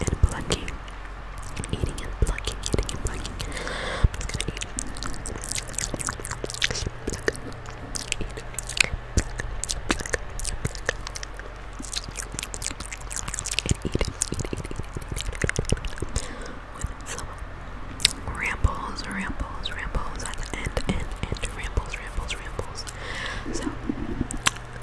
and plucking. Eating and plucking, eating and plucking. rambles, rambles, rambles at the end, end, end, rambles, rambles, rambles. So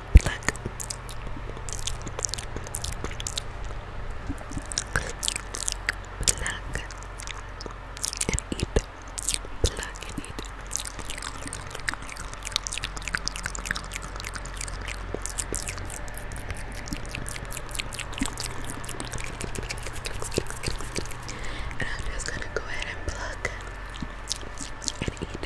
Look. and eat. Pluck and eat. And I'm just going to go ahead and pluck and eat.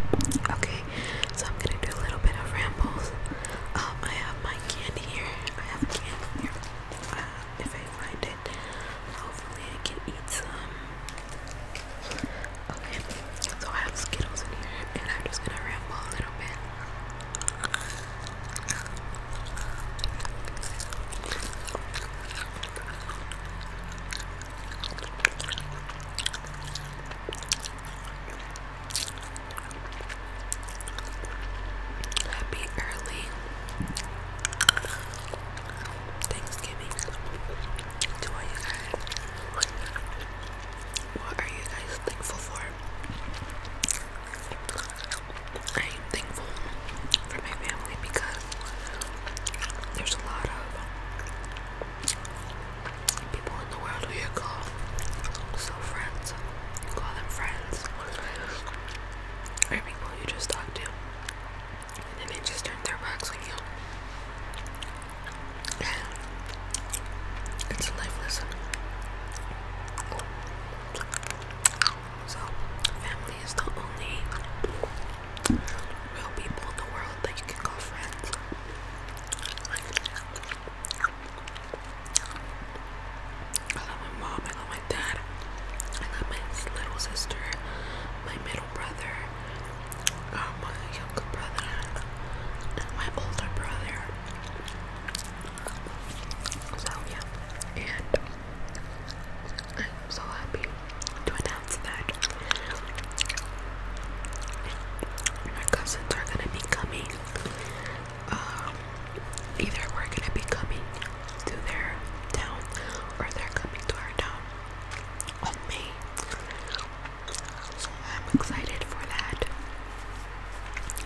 Okay, so I'm gonna do a little bit of rambles. Um, I have my candy here. I have candy here. Uh, if find it, hopefully I can eat some. Okay, so I have Skittles in here, and I'm just gonna ramble a little bit. Happy early Thanksgiving to all you guys. What are you guys thankful for? I am thankful for my family because there's a lot of people in the world who you call so friends. You call them friends. Or people you just talk to. And then they just turn their backs on you. it's a So, family is the only real people in the world that you can call friends. I love my mom, I love my dad, I love my little sister, my middle brother, um, my younger brother, and my older brother. So, yeah, and I'm so happy to announce that my cousins are gonna be coming. Um, either we're gonna be coming to their town or they're coming to our town May. So I'm excited for that.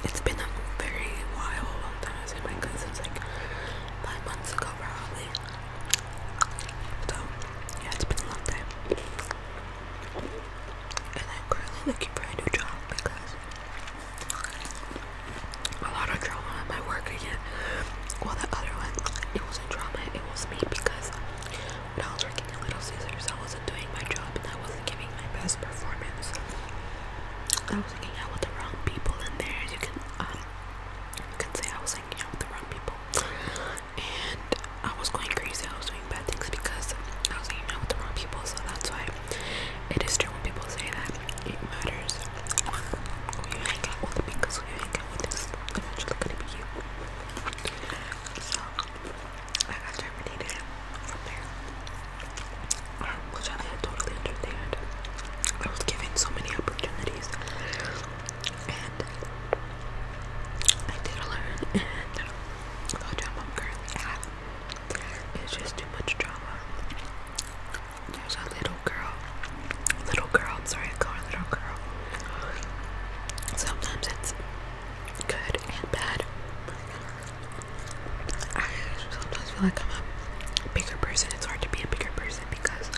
It's been a very while, long time I my cousins, like five months ago probably. So yeah, it's been a long time. And I'm currently looking for a new job because a lot of drama at my work again. While the other one, it wasn't drama, it was me because when I was working at Little Caesars, I wasn't doing my job and I wasn't giving my best performance. I was hanging out with the wrong people in there. You can, um, you can say I was hanging out with the wrong people and I was going crazy. I was doing bad things because I was hanging out with the wrong people, so that's why it is true when people say that it matters who you hang out with because who you hang out with is eventually gonna be you. So I got terminated from there, um, which I totally understand. I was given so many opportunities and I did learn, and the job I'm just too much drama. There's a little girl, little girl, I'm sorry, I call her little girl. Sometimes it's good and bad. I sometimes feel like I'm a bigger person. It's hard to be a bigger person because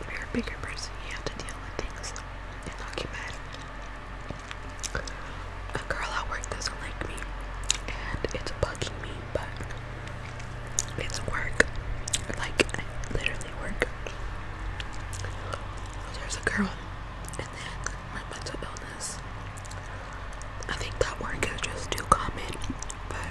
if you're a bigger person, you have to deal with a girl at work doesn't like me and it's bugging me, but it's work. Like, literally work. There's a girl, and then my mental illness. I think that work is just too common, but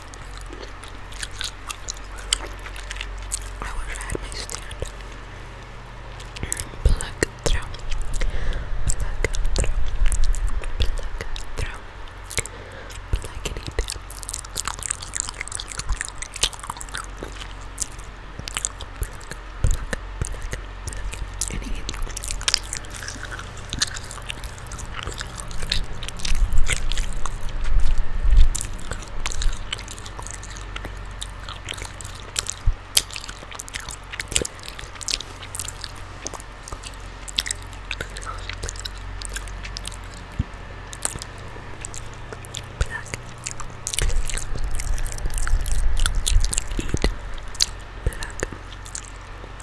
I wish I had my stand. Plug through. Plug through. Plug through. Plug it in. Plug, plug, plug, plug. And eat. Black. Eat black.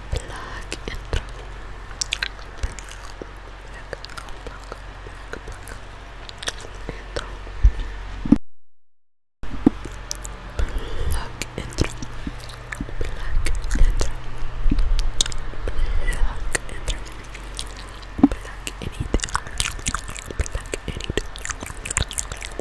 black intro. Black, black, black, black intro. Black Black intro. Black Black in it. Black in it. I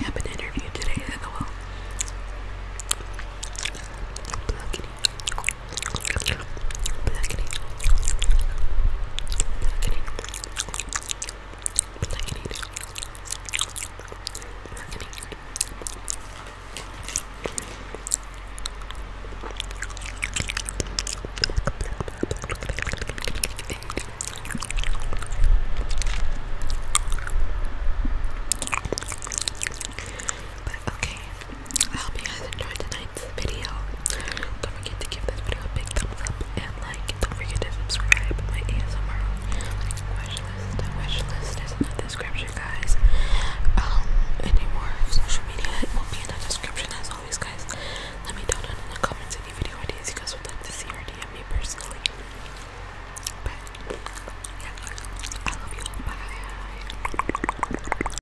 have an interview today as well. Blackity. Blackening. Blackening. Blackening. Blackening. But okay, I hope you guys enjoyed tonight's video. Don't forget to give this video a big thumbs up and like. Don't forget to subscribe. My ASMR like, wish list. wish list is in the description, guys. Um, any more social media it will be in the description as always, guys. Let me down in the comments any video ideas you guys would like to see or DM me personally. But yeah, I love you all. Bye.